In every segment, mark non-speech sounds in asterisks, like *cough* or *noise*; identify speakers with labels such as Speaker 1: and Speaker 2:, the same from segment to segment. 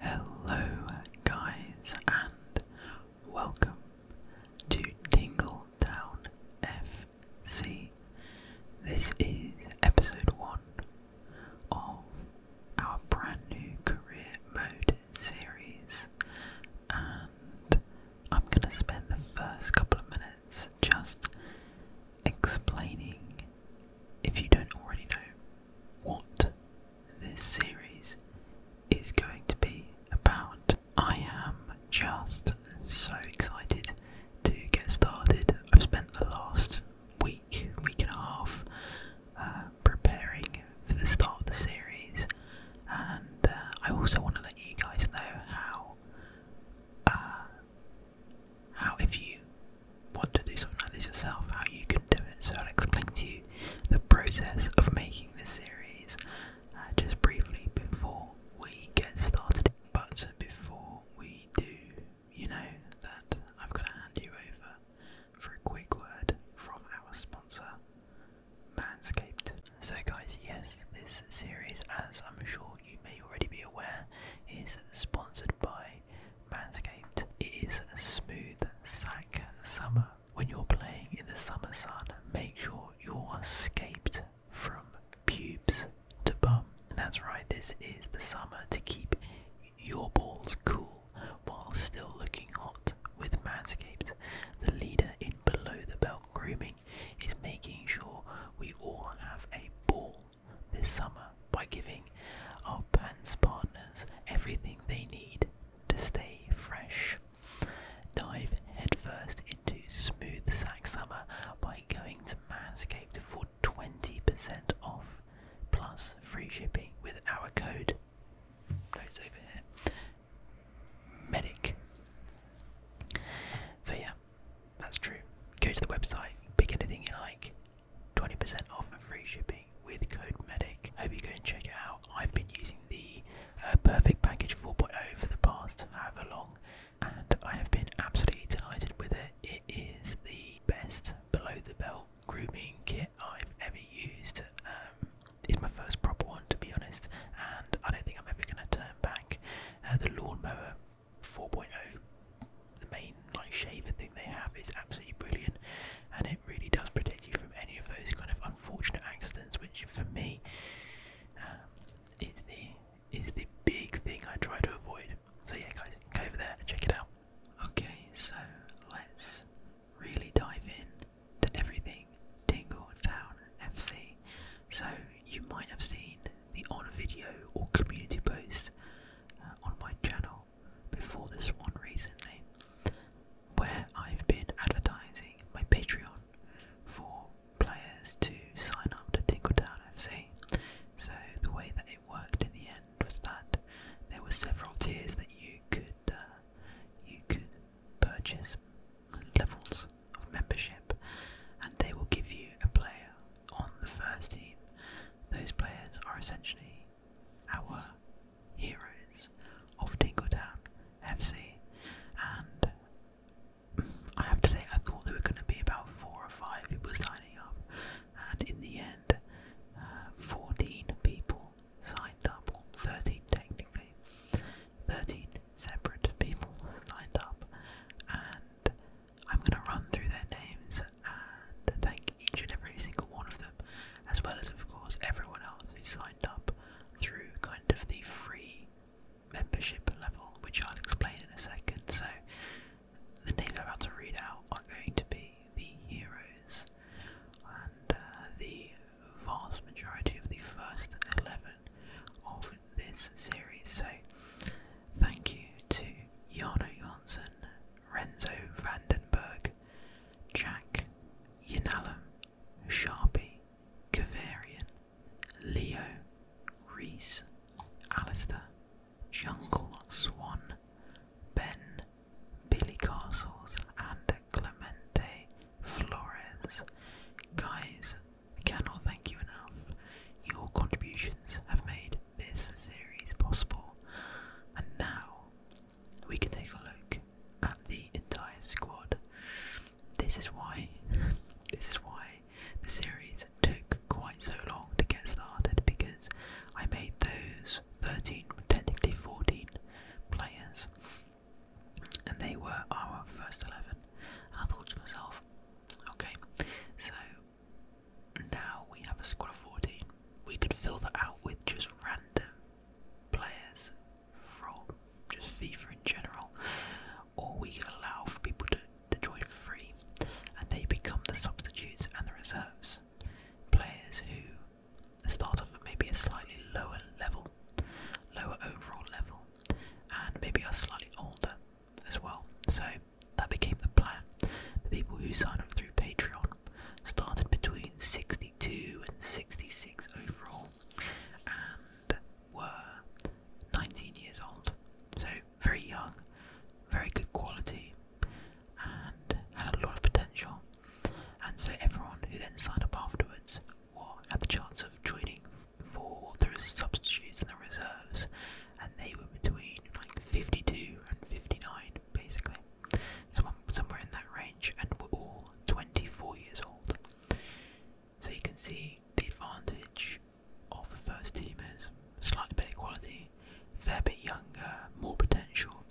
Speaker 1: Hello, guys, and welcome to Tingletown FC. This is episode one of our brand new career mode series, and I'm going to spend the first couple of minutes just explaining, if you don't already know, what this series is going to be about. I am just so excited to get started. I've spent the last week, week and a half uh, preparing for the start of the series, and uh, I also want to let you guys know how. Uh, how if you want to do something like this yourself, how you can do it. So I'll explain to you the process of making this series uh, just briefly before we get started. But before we do, you know that I'm going to hand you over for a quick word from our sponsor, Manscaped. So, guys, yes, this series, as I'm sure you may already be aware, is sponsored by Manscaped. It is a smooth sack summer. When you're playing in the summer sun, make sure you're scaped from pubes to bum. That's right, this is the summer to keep your balls cool while still looking hot with Manscaped. The leader in below the belt grooming is making sure we all have a ball this summer by giving our pants partners everything they need to stay fresh. Dive headfirst into smooth sack summer by going to Manscaped for 20% off plus free shipping with our code. Notes over here. Medic. So yeah, that's true. Go to the website, pick anything you like, 20% off and free shipping with code MEDIC. Hope you go and check it out. I've been using the uh, Perfect Package 4.0 for the past however long, and I have been absolutely delighted with it. It is the best below the belt grooming kit I've ever used. Um, it's my first proper one to be honest, and I don't think I'm ever going to turn back. Uh, the lawnmower 4.0, the main like shaver thing they have, is absolutely brilliant, and it really does protect you from any of those kind of unfortunate accidents, which for me um, is the is the big thing I try to avoid. So yeah, guys, go over there and check it out. Okay, so let's really dive in to everything Tingle Town FC. So you might have seen the on video or community post uh, on my channel before this one recently where I've been advertising my Patreon for players to sign up to Tinkletown FC. So the way that it worked in the end was that there were several tiers that you could uh, you could purchase levels of membership, and they will give you a player on the first team. Those players are essentially our heroes of Tingletown FC, and I have to say, I thought there were going to be about four or five people signing up, and in the end, uh, 14 people signed up, or 13 technically, 13 separate people signed up, and I'm going to run through their names and thank each and every single one of them, as well as, of course, everyone else who signed up through kind of the free membership level, which I'll explain in a second. So, the names I'm about to read out are going to be the heroes, and uh, the vast majority of the first 11 of this series. So, thank you to Yana Jonsson, Renzo Vandenberg, Jack Yanalum, Sharpie, Kavarian, Leo, Reese, Alistair, Jungle Swan, Ben, Billy Castles, and Clemente Flores. Guys, I cannot thank you enough. Your contributions have made this series possible. And now we can take a look at the entire squad. This is why *laughs* this is why the series took quite so long to get started because I made those 13, technically 14 players, and they were our first 11. I thought to myself, okay, so now we have a squad of 14. We could fill that out with just random players from just FIFA in general, or we allow for people to, to join for free and they become the substitutes and the reserves. Players who start off at maybe a slightly lower level, lower overall level, and maybe are slightly older as well. So that became the plan. The people who sign up through Patreon started between 62 and 66 overall and were 19 years old. So very young, very good quality, and had a lot of potential. And so everyone who then signed up afterwards were at the chance of joining for the substitutes and the reserves, and they were between like 52 and 59 basically. Some, somewhere in that range, and were all 24 years old. So you can see the advantage of the first teamers slightly better quality, fair bit younger, more potential,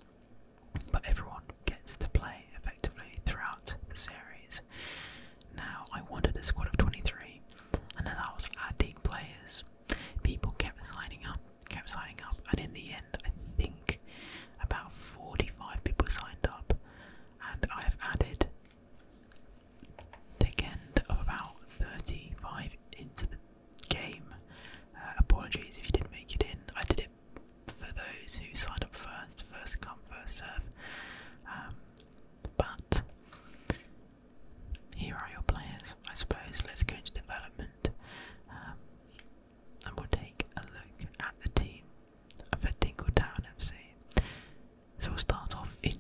Speaker 1: but everyone gets to play effectively throughout the series. Now, I wanted a squad of 23, and as I was adding players, people kept signing up kept signing up, and in the end, I think about 45 people signed up, and I have added thick end of about 35 into the game. Uh, apologies if you didn't make it in. I did it for those who signed up first, first come, first serve. Um, but here are your players, I suppose. Let's go into development. Um, and we'll take a look at the team for Dingletown FC. So we'll start off in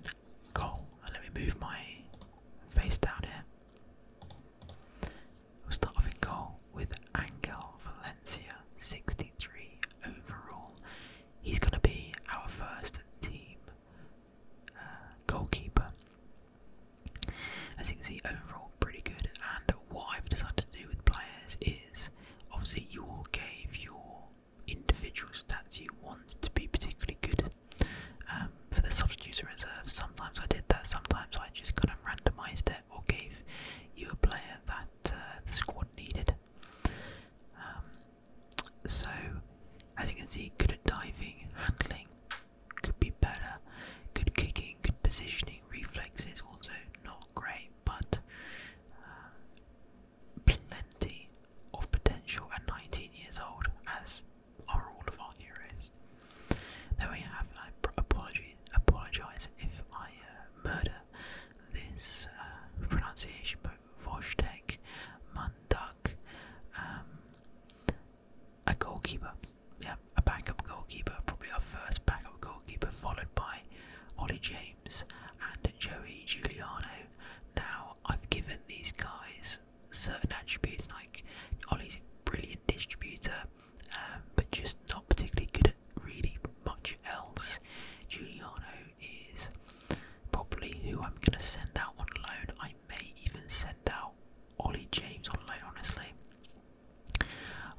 Speaker 1: goal. let me move my face down here. We'll start off in goal with Angel Valencia, 63 overall. He's going to be our first team uh, goalkeeper. As you can see, overall pretty good, and what I've decided to do with players is obviously you all gave your individual stats you want to be particularly good um, for the substitutes and reserves. Sometimes I did that, sometimes I just kind of randomized it or gave you a player that uh, the squad needed. Um, so, as you can see, good at diving, handling, could be better, good kicking, good positioning, reflexes, also not not great, but uh, plenty of potential at 19 years old, as are all of our heroes. There we have. I apology, apologize if I uh, murder this uh, pronunciation, but Vojtek Munduk, um, a goalkeeper yeah, a backup goalkeeper, probably our first backup goalkeeper, followed by Ollie James and Joey Giuliano. Now, I've given these guys certain attributes, like Ollie's a brilliant distributor, um, but just not particularly good at really much else. Giuliano is probably who I'm going to send out on loan. I may even send out Ollie James on loan, honestly.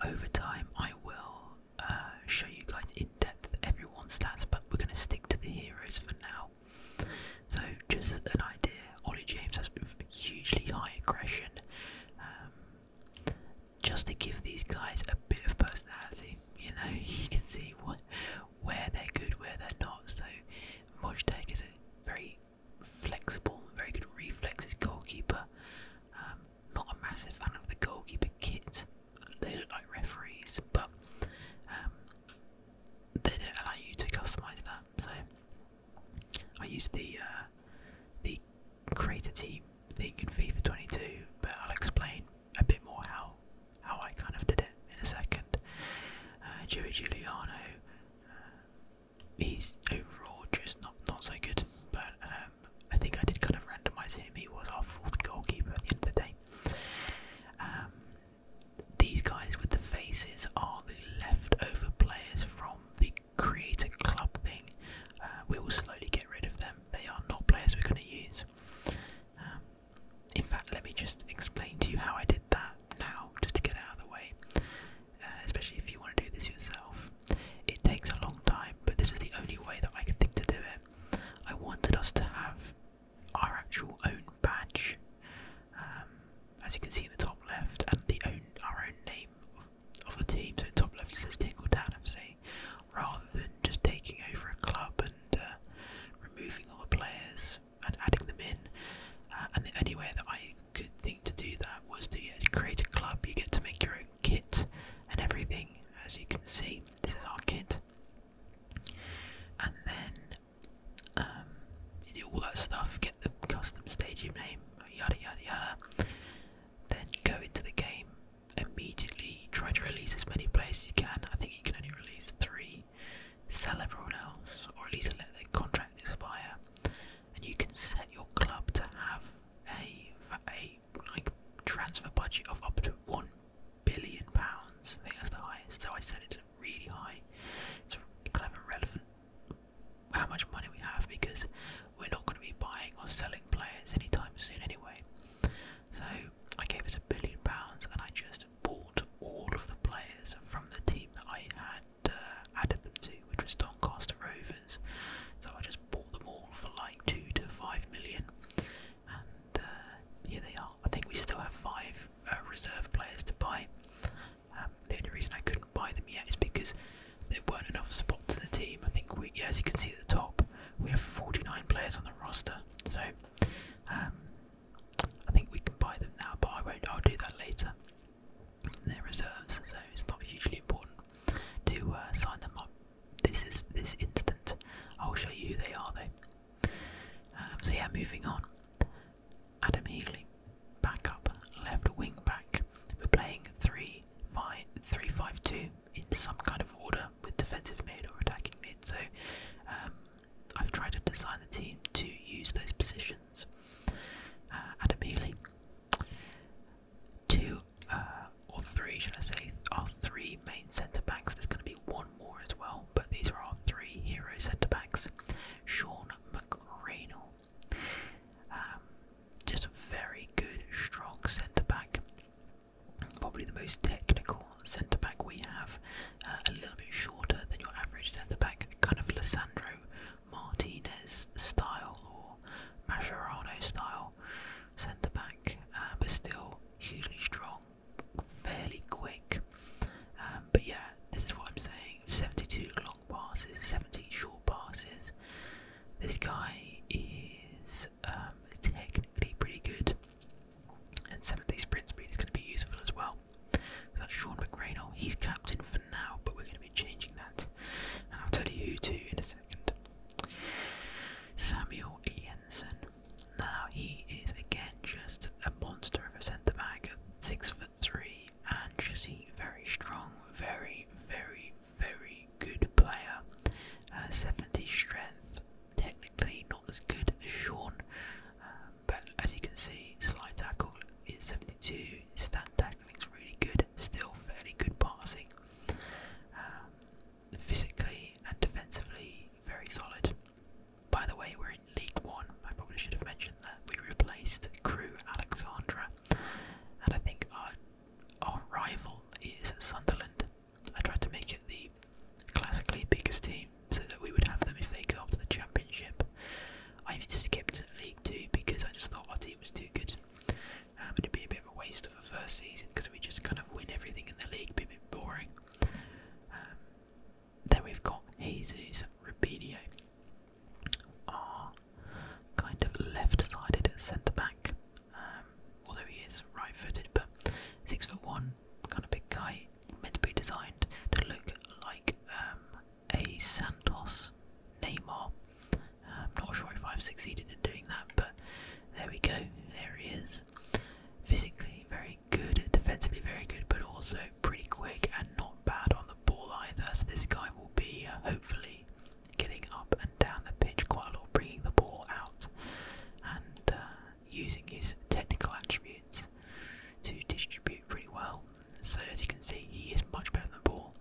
Speaker 1: Over time, I will uh, show you guys in depth everyone's stats, but we're going to stick to the heroes for now. So, just an idea Ollie James has hugely high aggression um, just to give these guys a bit of personality. You know, *laughs* you can see what, where they're good, where they're not. So, Mojtek is a very flexible, very good reflexes goalkeeper. Um, not a massive fan of the goalkeeper kit. They look like referees, but um, they don't allow you to customize that. So I used the uh, the creator team thing in FIFA 22, but I'll explain a bit more how how I kind of did it in a second. Uh, Joey Giuliano, uh, he's overall just not not so good, but. Um, um, I think I did kind of randomise him. He was our fourth goalkeeper at the end of the day. Um, these guys with the faces are the leftover players from the creator club thing. Uh, we will slowly get rid of them. They are not players we're going to use. Um, in fact, let me just explain to you how I did that now, just to get out of the way. Uh, especially if you want to do this yourself. It takes a long time, but this is the only way that I could think to do it. I wanted us to have our actual own badge, um, as you can see in the top left, and the own our own name of, the team. So top left it says Tingle Down FC, rather than just taking over a club and uh, removing all the players and adding them in. Uh, and the only way that I could think to do that was to create a club. You get to make your own kit and everything. As you can see, this is our kit, and then um, do all that stuff. Get the custom stadium name, yada yada yada. Then go into the game immediately. Try to release as many players as you can. I think you can only release three. Sell everyone else, or at least let their contract expire. And you can set your club to have a a like transfer budget of up to one billion pounds. I think that's the highest. So I said it's really high. It's kind of irrelevant how much money we have because we're not going to be buying or selling players anytime soon anyway. So I gave it a billion pounds and I just bought all of the players from the team that I had uh, added them to, which was Doncaster Rovers. So I just bought them all for like two to five million, and uh, here they are. I think we still have five uh, reserve players to buy. Um, the only reason I couldn't buy them yet is because there weren't enough spots in the team. I think we, as you can see at the top, we have 49 players on the roster, so um, I think we can buy them now. But I won't. I'll do that later. They're reserves, so it's not hugely important to uh, sign them up this is this instant. I'll show you who they are They. Um, so yeah, moving on. Adam Healy, back up, left wing back. We're playing 3-5-2 in some kind of order with defensive mid or attacking mid. So um, I've tried to design the team to use those positions. Uh, Adam Healy. Two uh, or three, should I say, our three main centre backs. There's going to be one more as well, but these are our three hero centre backs. Sean McGrainell, um, just a very good, strong centre back. Probably the most technical centre back we have. Uh, a little bit shorter than your average centre back, kind of Lissandro Martinez style or Mascherano style centre back, uh, but still hugely strong, fairly quick. Um, but yeah, this is what I'm saying 72 long passes, 17 short passes. This guy is um, technically pretty good, and 70 sprint speed is going to be useful as well. that's Sean McRaynell. He's captain for now, but we're going to be changing that, and I'll tell you who too in a second. Samuel Ianson. Now he is again just a monster of a centre back six foot three and just a very strong, very, very, very good player. Uh, 70 strength, technically not as good as Sean, um, but as you can see, slide tackle is 72, stand tackling is really good, still fairly good passing. Um, physically and defensively very solid. By the way, we're in League One. I probably should have mentioned that we replaced Crew Alexandra, and I think our our rival is Sunderland. I tried to make it the classically biggest team so that we would have them if they go up to the championship. I skipped League Two because I just thought our team was too good. Um, it'd be a bit of a waste of the first season because we just kind of win everything in the league, a bit boring. Um, then we've got Jesus Rapidio, our kind of left-sided centre-back, um, although he is right-footed, but six foot one, kind of big guy, meant to be designed to look like um, a Santos Neymar I'm not sure if I've succeeded in doing that, but there we go. There he is. Physically very good, defensively very good, but also pretty quick and not bad on the ball either. So this guy will be uh, hopefully getting up and down the pitch quite a lot, bringing the ball out and uh, using his technical attributes to distribute pretty well. So as you can see, he is much better than the ball.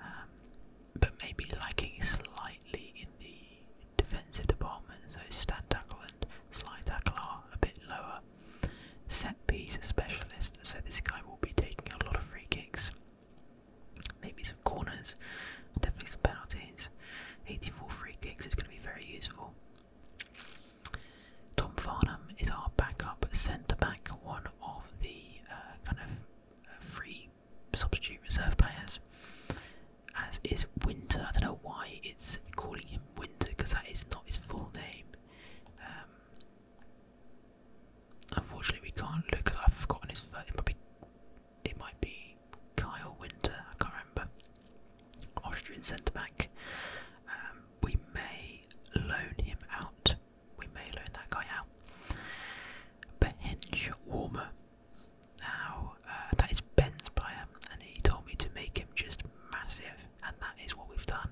Speaker 1: Um, but maybe lacking slightly in the defensive department. So stand tackle and slide tackle are a bit lower. Set piece specialist, so this guy will be taking a lot of free kicks, maybe some corners, definitely some penalties. 84 free kicks is going to be very useful. Tom Farnham is our backup centre back, one of the uh, kind of uh, free substitute reserve players, as is Winter. I don't know why it's calling him Winter because that is not his full name. Um, unfortunately, we can't look because I've forgotten his first. It might, be, it might be Kyle Winter. I can't remember. Austrian centre back. Um, we may loan him out. We may loan that guy out. Bench warmer. Now, uh, that is Ben's player, and he told me to make him just massive, and that is what we've done.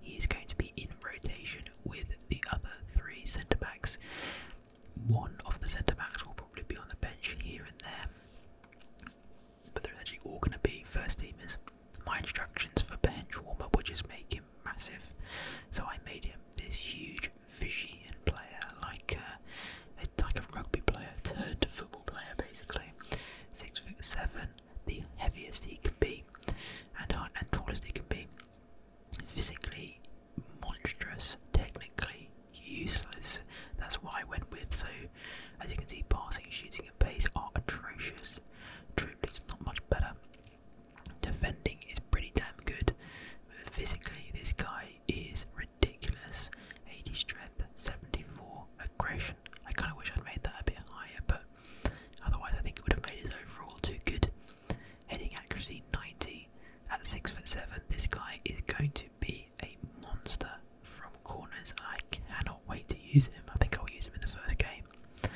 Speaker 1: He is going to be in rotation with the other three centre backs. One of the centre backs will probably be on the bench here and there, but they're actually all going to be first teamers. My instructions for bench warmer up were just make him massive, so I made him this huge fishy player, like uh, a like a rugby player turned football player, basically. Six foot seven, the heaviest he can be, and and tallest he can be. Physically monstrous, technically useless. That's why I went with. So, as you can see, passing, shooting, and pace are atrocious. Dribbling is not much better. Defending is pretty damn good. Physically, this guy is ridiculous. 80 strength, 74 aggression. I kind of wish I'd made that a bit higher, but otherwise I think it would have made his overall too good. Heading accuracy 90 at 6 foot 7. This guy is going to be a monster from corners. I cannot wait to use him. I think I'll use him in the first game.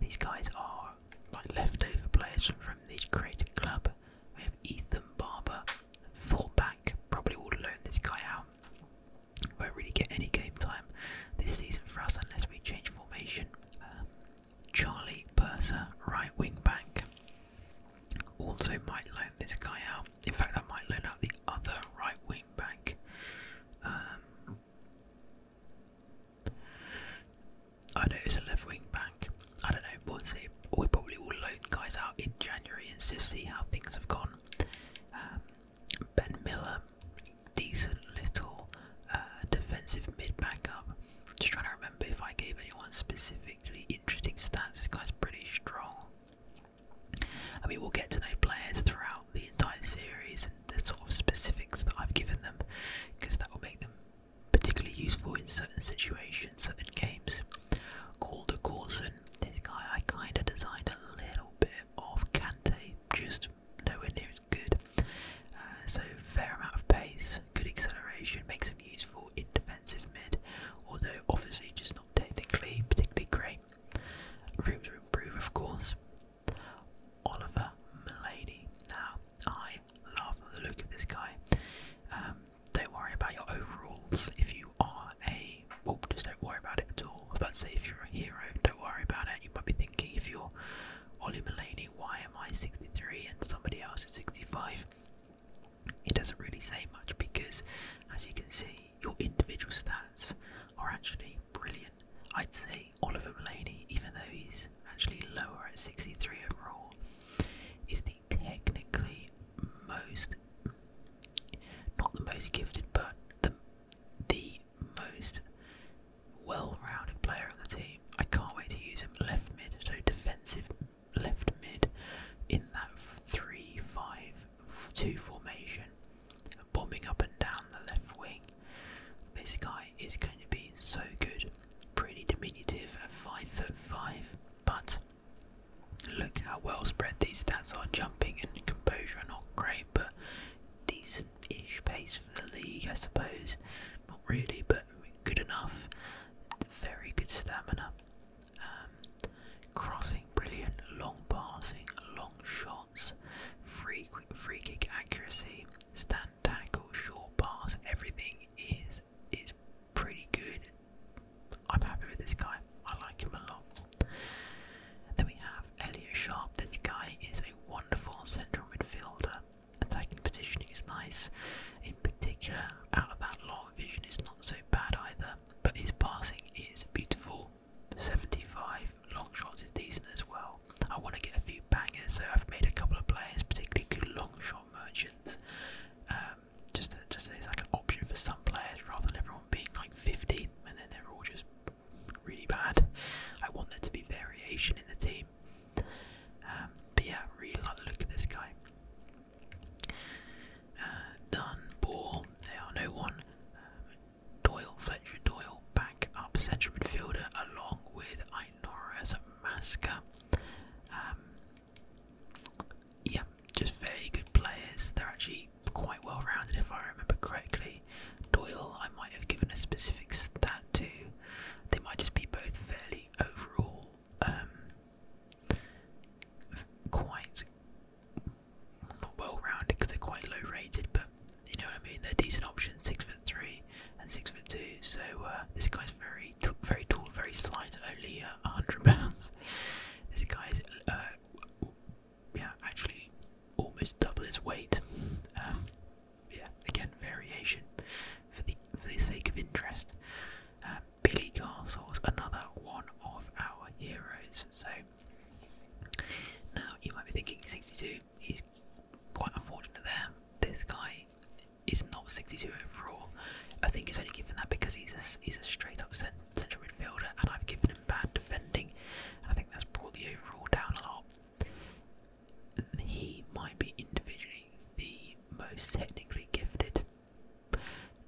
Speaker 1: These guys are like leftover players from the creative club. We have Ethan Barber, fullback. Probably will loan this guy out. Won't really get any game time this season for us unless we change formation. Um, Charlie Purser, right wing back. Also might loan this guy out. In fact, I might loan out the other right wing back. Um, I know it's a left wing back. I don't know, we'll see. We probably will loan guys out in January and just see how things have gone. Um, ben Miller, decent little uh, defensive mid back up. Just trying to remember if I gave anyone specifically interesting stats. This guy's pretty strong. I mean, we'll get to know players throughout the entire series and the sort of specifics that I've given them because that will make them particularly useful in certain situations, certain games. Called a Corson. This guy I kind of designed a little bit of Kante, just nowhere near as good. Uh, so fair amount of pace, good acceleration, makes him useful in defensive mid, although obviously just not technically particularly great. Room to improve, of course. Oliver Milady. Now, I love the look of this guy. Um, don't worry about your overalls if you are a well just don't worry about it at all. I say if you're a hero, don't worry about it. You might be thinking if you're Ollie Mulaney, why am I 63 and somebody else is 65? It doesn't really say much because as you can see your individual stats are actually brilliant. I'd say Oliver Mulaney, even though he's actually lower at 63 overall, is the technically most, not the most gifted, but the the most well-rounded player on the team. I can't wait to use him left mid, so defensive left mid in that three-five-two formation, bombing up and down the left wing. This guy is going to be so good, pretty diminutive at five foot five, but Look how well spread these stats are. Jumping and composure are not great, but decent ish pace for the league, I suppose. Not really, but good enough. Very good stamina. Um, crossing, brilliant. Long passing, long shots, free, free kick accuracy, stand tackle, short pass. Everything is is pretty good. I'm happy with this guy. I like him a lot. Then we have Elliot Sharp. This guy is a wonderful central midfielder. Attacking positioning is nice. In particular, out of that long vision is not so bad either. But his passing is beautiful. 75 long shots is decent as well. I want to get a few bangers, so I've made a couple of players, particularly good long shot merchants. Uh, just just it's like an option for some players rather than everyone being like 50 and then they're all just really bad. I want there to be variation in the team. Um, but yeah, really like look of this guy. Uh, Ball, they are no one. Um, Doyle, Fletcher, Doyle, back up central midfielder along with Inoris Masker. Um, yeah, just very good players. They're actually quite well rounded, if I remember correctly. Doyle, I might have given a specifics that too. They might just be both fairly overall um, quite not well rounded because they're quite low rated, but you know what I mean. They're decent options, six foot three and six foot two. So uh, this guy's very, very tall, very slight, only uh, 100 pounds. This guy's, uh, yeah, actually almost double his weight. Um, yeah, again, variation for the for the sake of interest. Uh, Billy was another one of our heroes. So now you might be thinking 62. He's quite unfortunate there. This guy is not 62 overall. I think he's only given that because he's a, he's a straight up central midfielder, and I've given him bad defending. I think that's brought the overall down a lot. He might be individually the most technically gifted.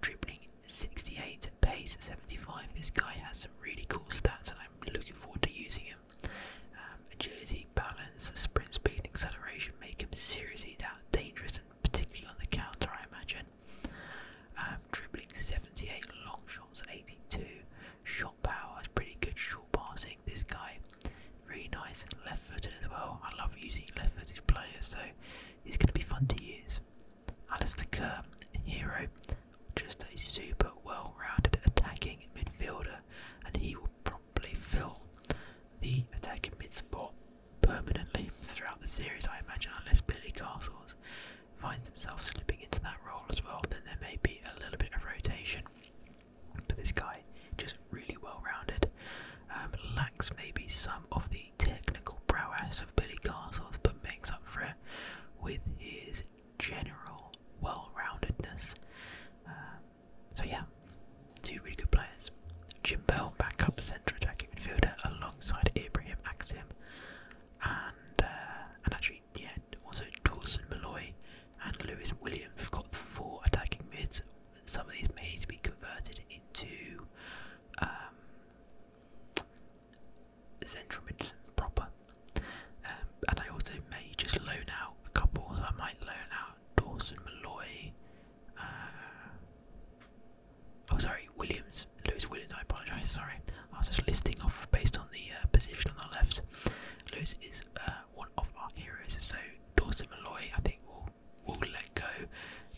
Speaker 1: Dribbling 68, pace 75. This guy has some really cool stats, and I'm looking forward to using him. Um, agility, balance, sprint speed, and acceleration make him seriously dangerous particularly on the counter, I imagine. Um, dribbling 78, long shots 82, shot power is pretty good, short passing. This guy, really nice, left footed as well. I love using left footed players, so he's going to be fun to use. Alistair Kerr, hero, just a super well rounded attacking midfielder, and he will probably fill the attacking mid spot permanently throughout the series, I imagine, unless Billy Castles finds himself slipping into that role as well, then there may be a little bit of rotation. But this guy, just really well rounded, um, lacks maybe some of the technical prowess of Billy Castles, but makes up for it with his general well roundedness. Uh, so, yeah, two really good players. Jim Bell, backup central attacking midfielder alongside Ibrahim Axim uh, and actually yeah also Dawson Malloy and Lewis Williams. We've got four attacking mids. Some of these may need to be converted into um, central mids proper. Um, and I also may just loan out a couple. I might loan out Dawson Malloy. Uh, Oh, sorry, Williams, Lewis Williams. I apologise. Sorry, I was just listing off based on the uh, position on the left. Lewis is uh, one of our heroes. So Dawson Malloy, I think, will will let go.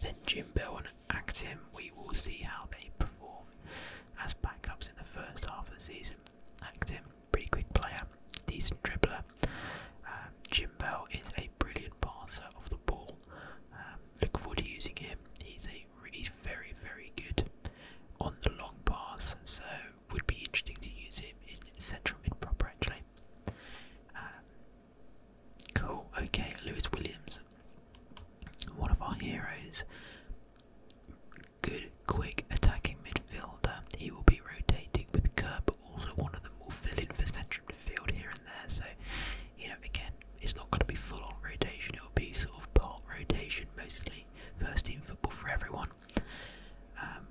Speaker 1: Then Jim Bell and Actim. We will see how they perform as backups in the first half of the season. Actim, pretty quick player, decent dribbler. Uh, Jim Bell is a brilliant passer of the ball. Um, Looking forward to using him. He's a he's very very good on the long pass, so would be interesting to use him in central mid proper actually. Um, cool. Okay, Lewis Williams, one of our heroes. Good, quick attacking midfielder. He will be rotating with Kerr, but also one of them will fill in for central field here and there. So, you know, again, it's not going to be full on rotation, it'll be sort of part rotation, mostly first team football for everyone. Um,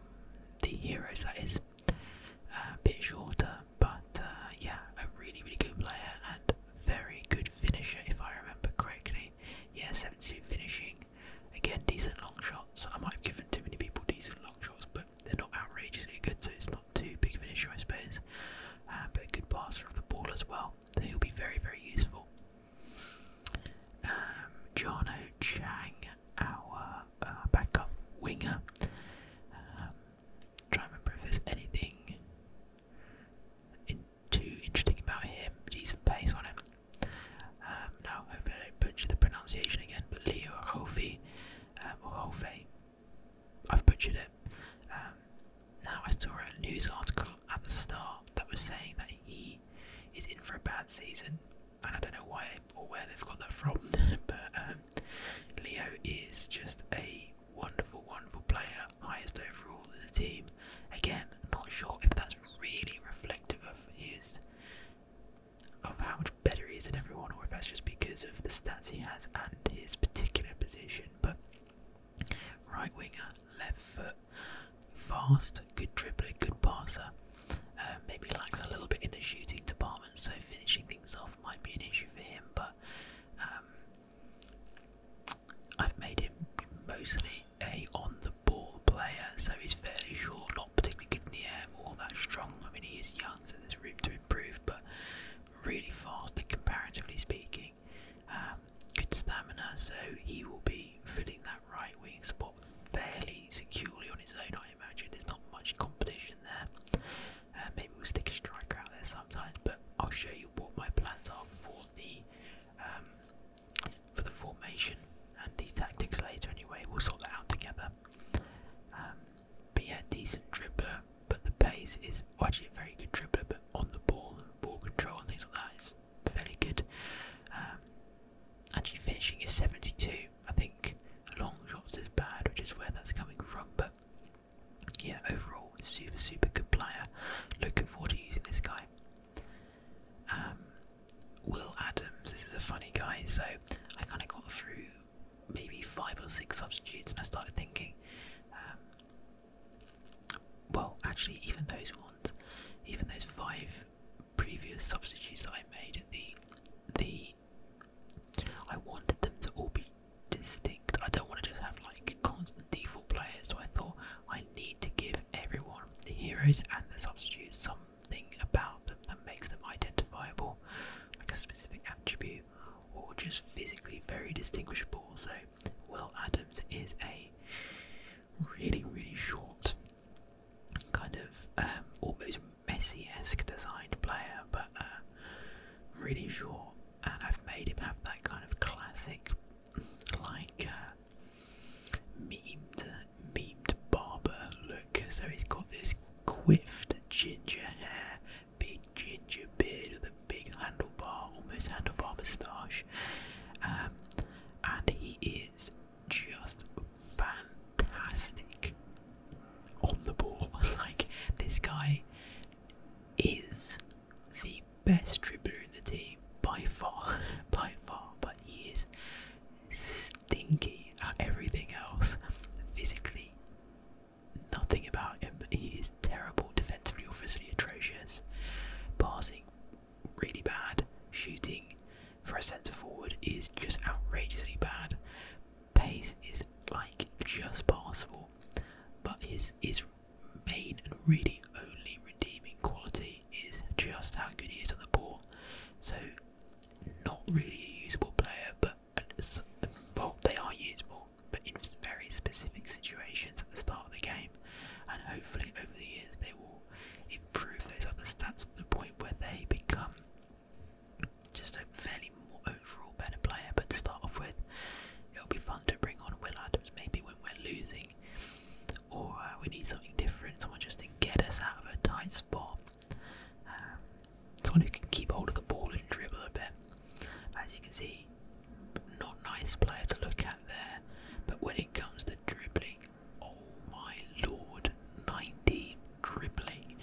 Speaker 1: the heroes, that is. Uh, a bit shorter, but uh, yeah, a really, really good player and very good finisher, if I remember correctly. Yeah, 72 finishing. Again, decent long shots. I might have given too many people decent long shots, but they're not outrageously good, so it's not too big of an issue, I suppose. Uh, but a good passer of the ball as well. So he'll be very, very useful. Um, Jono Chang, our uh, backup winger. Um, try remember if there's anything too interesting about him. Decent pace on him. Um, now, hope I butcher the pronunciation again, but Leo Hofi, uh, or Hofe, I've butchered it. Um, now I saw a news article at the start that was saying that he is in for a bad season, and I don't know why or where they've got that from. *laughs* but um, Leo is just a wonderful, wonderful player, highest overall in the team. Again, not sure if that's really reflective of his of how much better he is than everyone, or if that's just because of the stats he has and his particular position but right winger, left foot, fast, good dribbler, good passer. Uh, maybe lacks a little bit in the shooting department, so finishing things off might be an issue for him. But um, I've made him mostly a on-the-ball player, so he's fairly sure, not particularly good in the air, all that strong. I mean, he is young, so there's room to improve, but really fast, comparatively speaking. Um, good stamina, so he will be filling that right wing spot fairly securely on his own. I imagine there's not much competition there. Uh, maybe we'll stick a striker out there sometimes, but I'll show you what my plans are for the um, for the formation and the tactics later. Anyway, we'll sort that out together. Um, but yeah, decent dribbler, but the pace is actually a very good dribbler, but on the ball and ball control and things like that is fairly good. Um, actually finishing is 72. I think long shots is bad, which is where that's coming from, but yeah, overall, super, super good player. Looking forward to using this guy. Um, Will Adams, this is a funny guy, so I kind of got through maybe five or six substitutes and I started thinking, um, well, actually, even those ones, even those five previous substitutes that I made, the the I wanted them to all be distinct. I don't want to just have like constant default players. So I thought I need to give everyone, the heroes and the substitutes, something about them that makes them identifiable, like a specific attribute do, or just physically very distinguishable. So, Will Adams is a really, really short, kind of um, almost Messi esque designed player, but uh, really short. And I've made him have that kind of classic, like, uh, memed, memed barber look. So he's got this quiffed ginger hair big ginger beard with a big handlebar, almost handlebar moustache. Um, and he is just fantastic on the ball. *laughs* like, this guy is the best dribbler in the team by far, *laughs* by far, but he is stinky at everything else physically, nothing about him. He is terrible defensively, obviously atrocious. Passing, really bad. Shooting for a centre forward is just outrageously bad. Pace is like just passable, but his his main and really only redeeming quality is just how good he is on the ball. So not really a usable player, but uh, well, they are usable but in very specific situations at the start of the game. And hopefully, over the years, they will improve those other stats to the point where they become just a fairly more overall better player. But to start off with, it'll be fun to bring on Will Adams maybe when we're losing or uh, we need something different, someone just to get us out of a tight spot. Um, someone who can keep hold of the ball and dribble a bit. As you can see, not nice player to look at there, but when it comes to dribbling, oh my lord, 90 dribbling,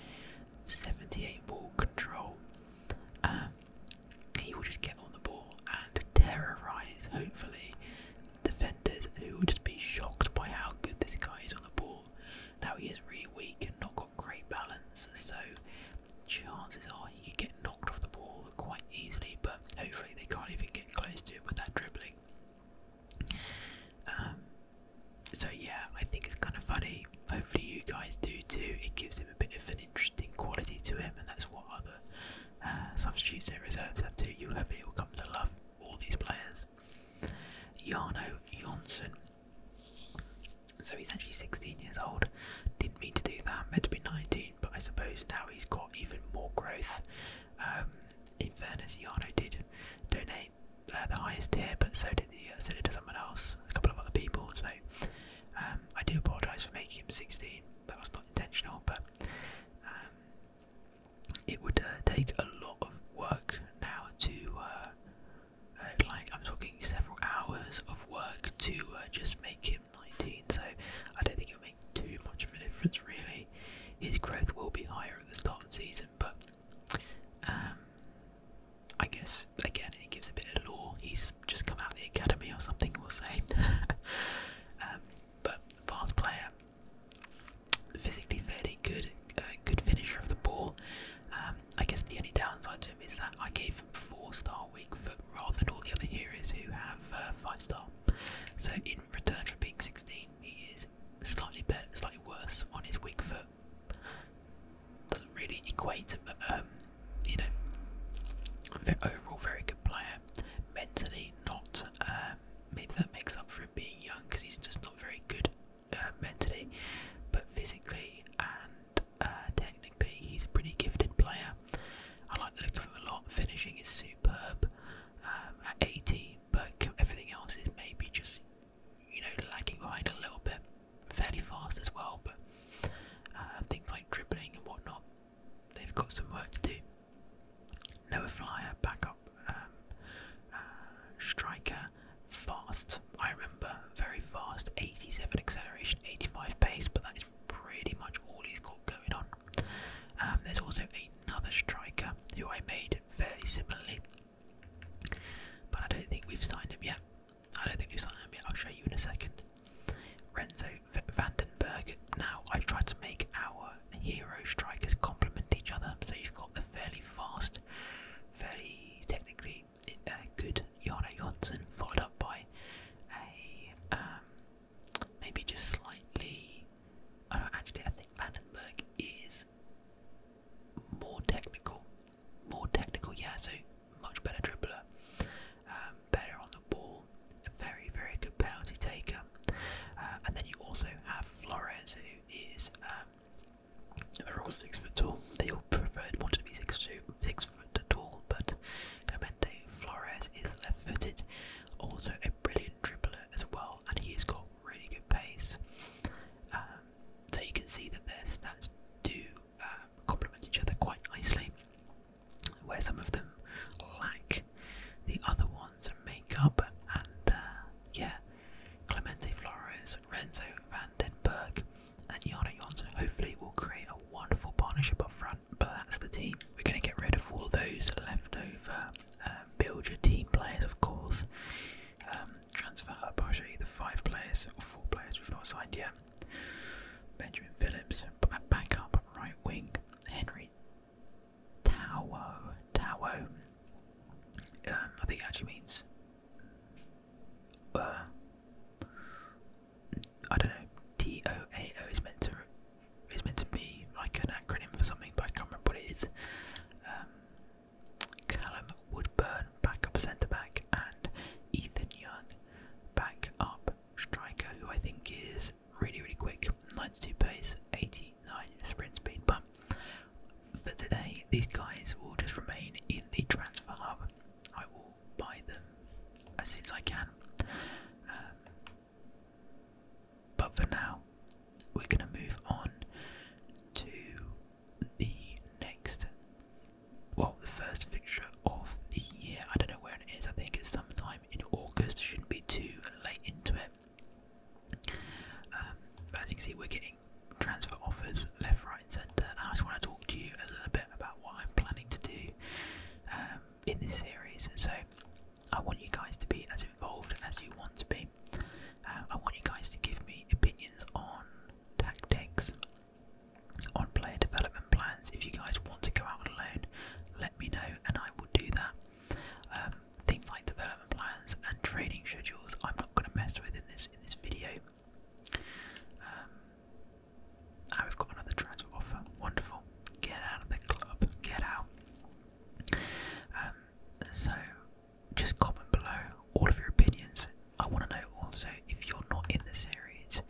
Speaker 1: 78 ball control. Um, he will just get on the ball and terrorise, hopefully, defenders who will just be shocked by how good this guy is on the ball. Now he is really weak and not got great balance, so chances are you get knocked off the ball quite easily, but hopefully they can't even get close to it with that dribbling. Um, so yeah, I think it's kind of funny. Hopefully you guys do too. It gives him a bit of an interesting quality to him, and that's what other uh, substitutes and reserves have too. You'll have you come to love all these players. Jarno Jonsson. So he's actually 16 years old. Didn't mean to do that, meant to be 19, but I suppose now he's got even more growth. Um, in fairness, Yano did donate uh, the highest tier, but so did the uh, so did someone else, a couple of other people. So um, I do apologise for making him 16. That was not intentional, but um, it would uh, take a lot of work now to. Uh, like I'm talking several hours of work to just make him 2019, so I don't think it'll make too much of a difference really. His growth will be higher at the start of the season, but um, I guess again it gives a bit of law. He's just come out of the academy or something, we'll say. *laughs* um, but fast player, physically fairly good, uh, good finisher of the ball. Um, I guess the only downside to him is that I gave him four stars star weak foot rather than all the other heroes who have uh, five star. So in return for being 16, he is slightly better, slightly worse on his weak foot. Doesn't really equate to, um, you know, overall very good player. Mentally, not. Um, maybe that makes up for him being young because he's just not very good uh, mentally, but physically and uh, technically he's a pretty gifted player. I like the look of him a lot. Finishing is superb um, at 80, but everything else is maybe just you know lagging behind a little bit. Fairly fast as well, but uh, things like dribbling and whatnot, they've got some work to do. Noah Flyer, backup um, uh, striker, fast. I remember very fast, 87 acceleration, 85 pace, but that is pretty much all he's got going on. Um, there's also another striker who I made fairly similarly, but I don't think we've signed him yet. I don't think we've signed him yet. I'll show you in a second. Renzo v Now I've tried to make our hero strikers complement each other, so you've got the fairly fast, fairly technically uh, good Johnson, Jana followed up by a um, maybe just slightly. Oh, do actually. I think Vandenberg is more technical, more technical. Yeah, so much better dribbler, um, better on the ball, very very good penalty taker, uh, and then you also have Flores who is. Um, they're all six foot tall. They all preferred wanted to be six foot six two, six at all, but Clemente Flores is left footed, also a brilliant dribbler as well, and he's got really good pace. Um, so you can see that their stats do um, complement each other quite nicely, where some of them lack the other ones make up. And uh, yeah, Clemente Flores, Renzo van den Berg, and Yana Jonsson hopefully will create a wonderful partnership up front but that's the team. We're going to get rid of all those leftover uh, build your team players, of course. Um, transfer I'll show you the five players or four players we've not signed yet. Benjamin Phillips, back up, right wing. Henry Tawo, Tawo. Um, I think actually means. Uh, I don't know. T O A O is meant to is meant to be like an acronym for something, but I can't remember what it is. Um, Callum Woodburn, backup centre back, and Ethan Young, backup striker, who I think is really really quick, 92 pace, 89 sprint speed. But for today, these guys will just remain in the transfer hub. I will buy them as soon as I can. Um, but for now, we're going to move on to the next, well, the first fixture of the year. I don't know when it is, I think it's sometime in August, shouldn't be too late into it. Um, as you can see, we're getting transfer offers left, right, and centre. I just want to talk to you a little bit about what I'm planning to do. Um, in this series. So I want you guys to be as involved as you want to be. Uh, I want you guys to give me opinions on tactics, on player development plans. If you guys want to go out alone, let me know and I will do that. Um, things like development plans and training schedules, I'm not going to mess with in this in this video. Um, we've got another transfer offer. Wonderful. Get out of the club. Get out. Um, so, just comment below all of your opinions. I want to know also if you're not in the series,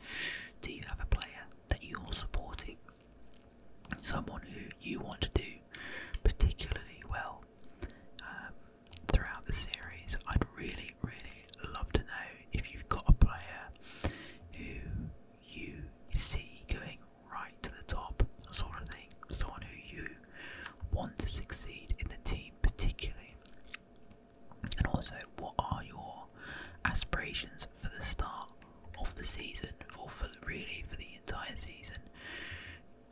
Speaker 1: do you have a player that you're supporting? Someone who you want to do particularly well um, throughout the series? I'd really, really love to know if you've got a player who you see going right to the top, sort of thing. Someone who you want to succeed in the team, particularly. And also, what are your aspirations for the start of the season, or for really for the entire season,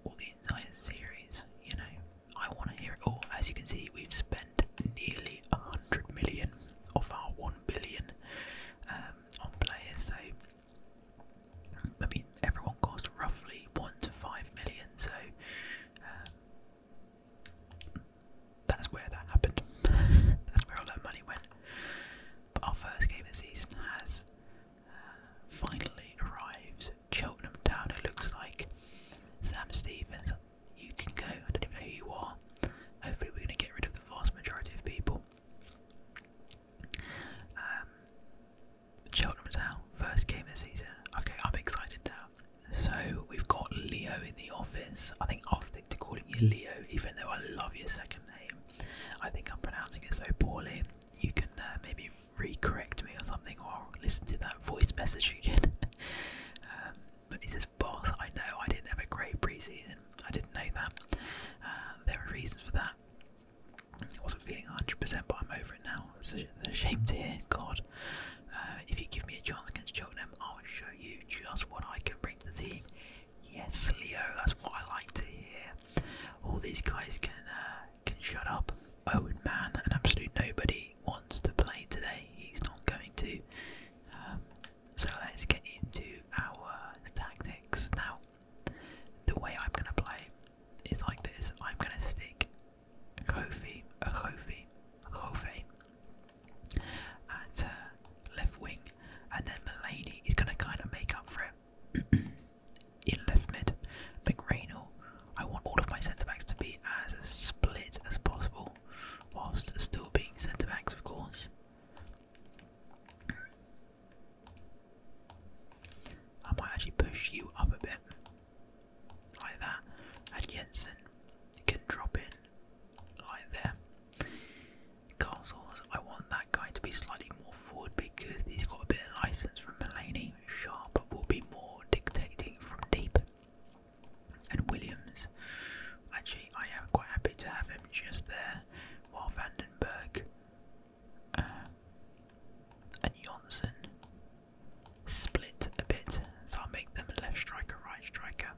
Speaker 1: or the entire series? You know, I want to hear Oh, As you can see, we've spent nearly a hundred million of our one billion um, on players. So I mean, everyone costs roughly one to five million. So um, that's where that happened. that's where all that money went. But our first game of the season has uh, finally arrived. Cheltenham Town. It looks like Sam Stevens you can go. I don't even know who you are. Hopefully, we're going to get rid of the vast majority of people. Um, Cheltenham's out. First game of the season. Okay, I'm excited now. So we've got Leo in the office. I think I'll stick to calling you Leo, even though I love your second name. I think I'm pronouncing it so poorly. You can uh, maybe re-correct me or something, or listen to that voice message again. *laughs* um, he says, boss. I know I didn't have a great preseason. I didn't know that. Uh, there are reasons for that. I wasn't feeling 100%, but I'm over it now. It's a, shame to hear. God, uh, if you give me a chance against Cheltenham, I'll show you just what I can bring to the team. Yes, Leo, that's what I like to hear. All these guys can uh, can shut up. Owen oh, Man, an absolute nobody, wants to play today. He's not going to. Um, so let's get into our tactics. Now, the way I'm going to play is like this I'm going to stick Kofi, Kofi, Kofi at uh, left wing, and then Mulaney is going to kind of make up for it *clears throat* in left mid. McRaynell, I want all of my centre backs to be as split as possible, whilst still being centre backs, of course. I might actually push you up a bit, like that, and Jensen can drop in like there. Castles, I want that guy to be slightly more forward because he's got a bit of license from Mulaney. Sharp will be more dictating from deep, and Williams Actually, I am quite happy to have him just there while Vandenberg uh, and Jonsson split a bit. So I'll make them left striker, right striker.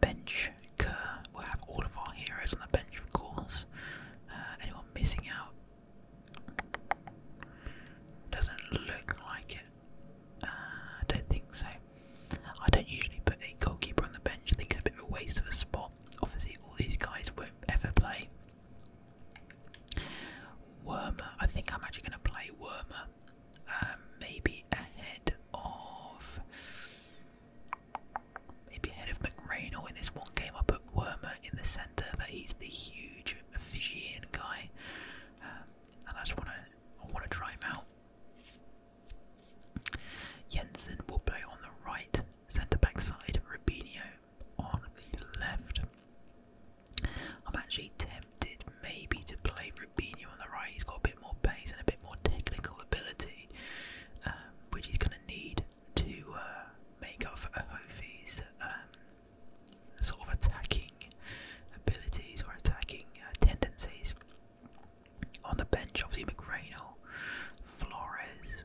Speaker 1: Bench Kerr. We'll have all of our heroes on the bench, of course. Uh, anyone missing out? Doesn't look like it. Uh, I don't think so. I don't usually put a goalkeeper on the bench. I think it's a bit of a waste of a spot. Obviously, all these guys won't ever play. Wormer. I think I'm actually going to play Wormer. Um, maybe ahead of. Maybe ahead of McRaynor in this one game. I put Wormer in the centre. That he's the huge Fijian guy, um, and I just want to. I want to try him out. Jensen will play on the right centre back side, Rubinho on the left. I'm actually tempted maybe to play Rubinho on the right. He's got a bit more pace and a bit more technical ability, um, which he's going to need to uh, make up for Ahofi's um, sort of attacking abilities or attacking uh, tendencies. On the bench, obviously McRaeno, Flores.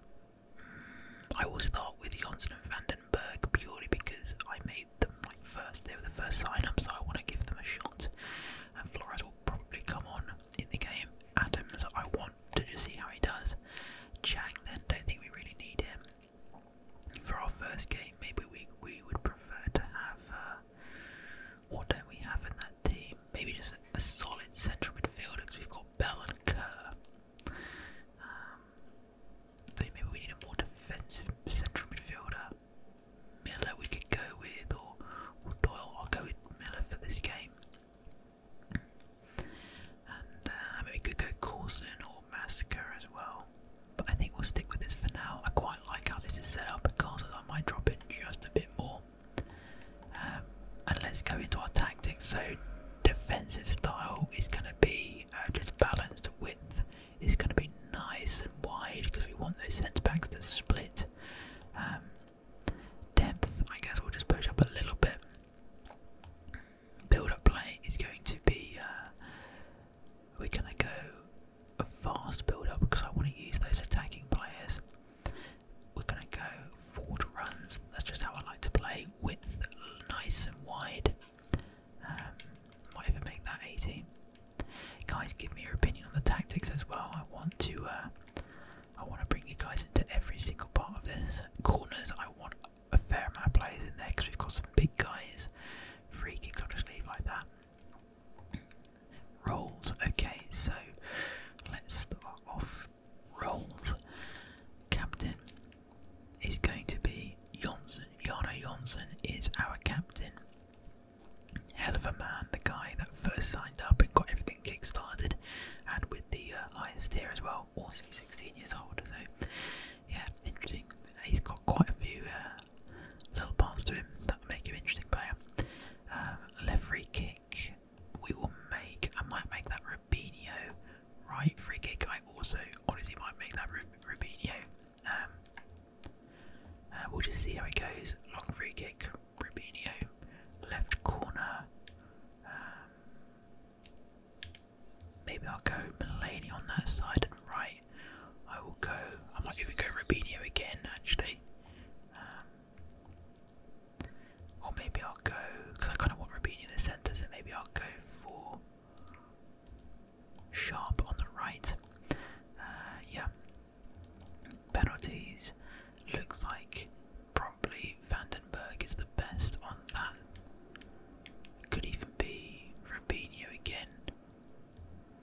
Speaker 1: Mm, I will start with Jonsson and Vandenberg purely because I made them like first. They were the first sign-ups, so I want to give them a shot. And Flores will probably come on in the game. Adams, I want to just see how he does. Chang, then don't think we really need him for our first game. Maybe we we would prefer to have. Uh, what don't we have in that team? Maybe just a, solid central midfielder we've got Bell and Kerr. Um, maybe we need a more defensive central midfielder. Miller we could go with, or, Doyle. I'll go with Miller for this game. And uh, maybe we could go Coulson or Massacre as well. But I think we'll stick with this for now. I quite like how this is set up because I might drop it just a bit more. Um, and let's go into our tactics. So defensive style is going to be uh, just balanced width. It's going to be nice and wide because we want those centre backs to split. Um, depth, I guess we'll just push up a little bit. Build up play is going to be. Uh, we're going to go a fast build up because I want to use those attacking players. We're going to go forward runs, that's just how I like to play, with nice and wide. Um, might even make that 80. Guys, give me your opinion on the tactics as well. I want to, uh, I want to bring you guys into every single part of this. Corners, I want a fair amount of players in there because we've got some big guys. Free kicks, I'll just leave like that. Rolls. Okay, so let's start off rolls. Captain is going to be Jonsson. Yana Jonsson is our captain. Hell of a man, the guy that first signed up and got everything kick-started, and with the uh, highest tier as well, also 16 years old. So, yeah, interesting. He's got quite a few uh, little parts to him that make him an interesting player. Um, left free kick, we will make. I might make that Rubinho. Right free kick, I also honestly might make that Rubinho. Um, uh, we'll just see how it goes. Long free kick, Rubinho. Left corner. Um, maybe I'll go Mulaney on that side and right. I will go. I might even go Rubinho again, actually. Um, or maybe I'll go, because I kind of want Rubini in the centre, so maybe I'll go for Sharp on the right. Uh, yeah. Penalties. Looks like probably Vandenberg is the best on that. Could even be Rubinho again.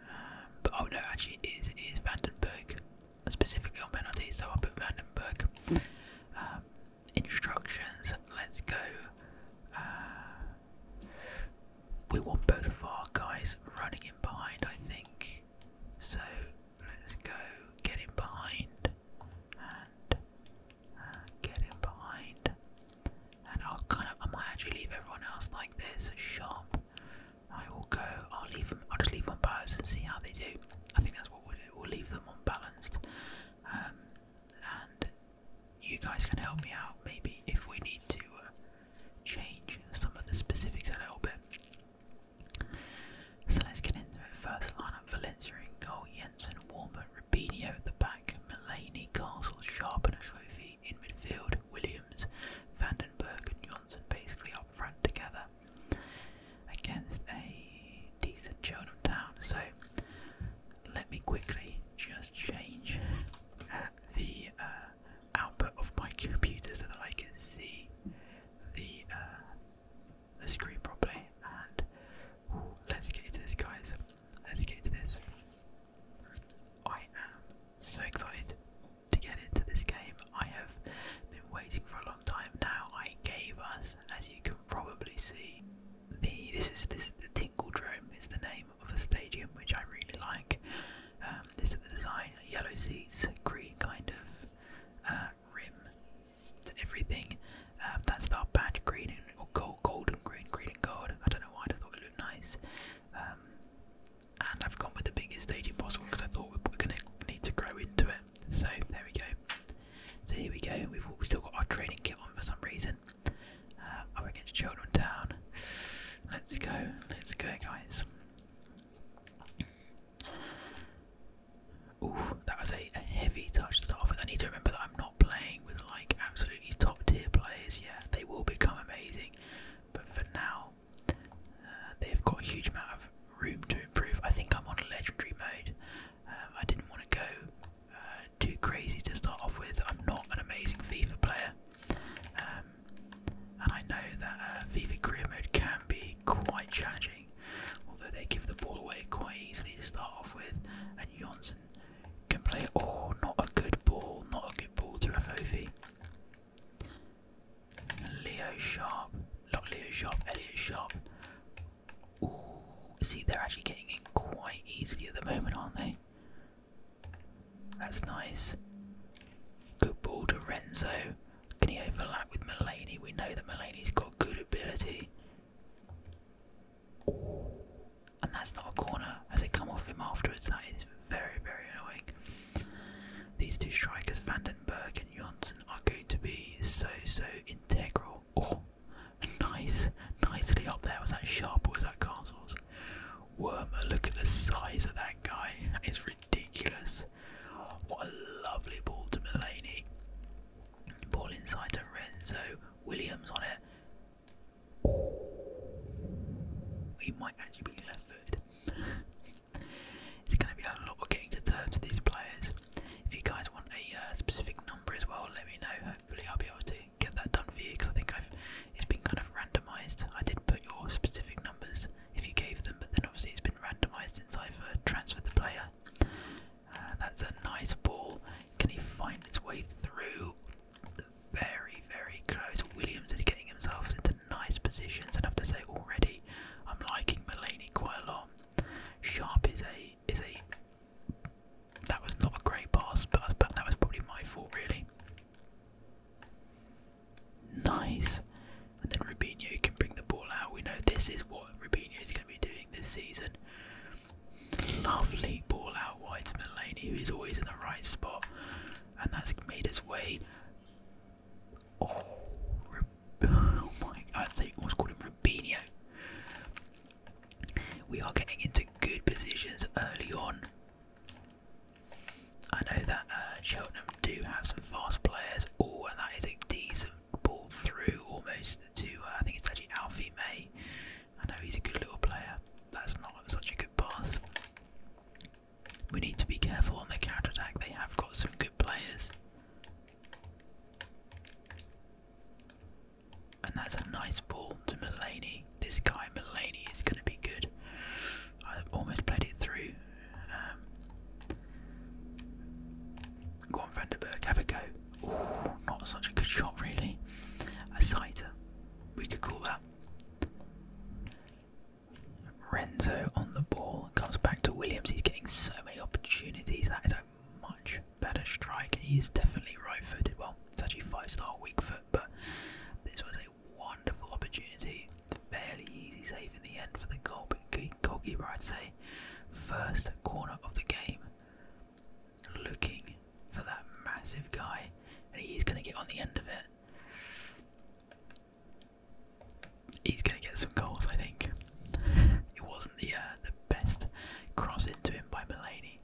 Speaker 1: Um, but oh no, actually, it is, it is Vandenberg specifically on penalties, so I will put random um, book instructions, let's go. Uh, we want both of our guys running in behind, I think. So let's go get in behind and uh, get in behind. And I'll kind of, I might actually leave everyone else like this, sharp. I will go. I'll leave them. I'll just leave them balanced and see how they do. I think that's what we'll leave them unbalanced, um, and you guys can help me out maybe if we need to uh, change some of the specifics a little bit. So let's get into it. First line lineup: Valencia in goal, Jensen, Warmer, Rubinho at the back, Mullaney, Castle, Sharp, and Kofi in midfield. Williams, Vandenberg, and Johnson basically up front together against a decent Cheltenham Town. So let me quickly just change the uh, output of my computer so that I can see the uh, the screen properly. And let's get into this, guys. Let's get into this. I am so excited to get into this game. I have been waiting for a long time now. I gave us, as you can probably see, the this is this is the Tingle Drome is the name of the stadium which I really like. Um, this is the design: yellow seats, green kind of uh, rim to everything. Um, that's our badge, green and or gold, golden green, green and gold. I don't know why I thought it looked nice. Um, and I've gone with the biggest stadium possible because I thought we we're going to need to grow into it. So there we go. So here we go. We've still got our training kit on for some reason. Uh, up against Children Town. Let's go. Let's go, guys. Ooh, that was a, heavy touch to I need to remember that I'm not playing with like absolutely top tier players. Yeah, they will become amazing, but for now, uh, they've got a huge amount of room to improve. I think I'm on a legendary mode. Um, I didn't want to go uh, too crazy to start off with. I'm not an amazing FIFA player, um, and I know that uh, FIFA career mode can be quite challenging. Although they give the ball away quite easily to start off with, and Johnson can play. Oh, not a good ball, not a good ball to a movie. Leo Sharp, not Leo Sharp, Elliot Sharp. Ooh, see, they're actually getting in quite easily at the moment, aren't they? That's nice. Good ball to Renzo. Can he overlap with Mulaney? We know that Mulaney's got good ability. And that's not a corner. Has it come off him afterwards? That is very, very annoying. These two strikers, Vandenberg and Johnson, are going to be so so integral. Oh, *laughs* nice, nicely up there. Was that sharp was that castles? Wormer, look at the size of that guy. It's ridiculous. What a lovely ball to Mulaney. Ball inside to Renzo. Williams on it. we oh, might actually be left footed. It's going to be a lot of getting to terms with these players. If you guys want a uh, specific number as well, let me know. Hopefully, I'll be able to get that done for you because I think I've it's been kind of randomised. I did put your specific numbers if you gave them, but then obviously it's been randomised since I've uh, transferred the player. Uh, that's a nice ball. Can he find its way through? Very, very close. Williams is getting himself into nice positions, and I have to say already I'm liking Mulaney quite a lot. Sharp is a is a that was not a great pass, but that was probably my fault really. Nice, and then Rubinho can bring the ball out. We know this is what Rubinho is going to be doing this season. Lovely ball out wide to Mulaney, who is always in the right spot, and that's made its way Oh, oh I'd say almost called him Rubinho. We are getting into good positions early on. I know that uh, Cheltenham do have some fast players. Oh, and that is a decent ball through almost to, uh, I think it's actually Alfie May. I know he's a good little player. That's not such a good pass. We need to be careful on the counter attack. They have got some good players. And that's a nice ball to Mulaney. This guy Mulaney is going to be good. I've almost played it through. Um, go have a go. not such a good shot, really. A sighter, we could call that. Renzo on the ball comes back to Williams. He's getting so many opportunities. That is a much better strike. He is definitely right footed. Well, it's actually five star weak foot, but this was a wonderful opportunity. Fairly easy save in the end for the goal, goalkeeper, I'd say. First corner of the game. Looking for that massive guy, and he's going to get on the end of it. He's going to get some goals, I think. it wasn't the uh, the best cross into him by Mulaney,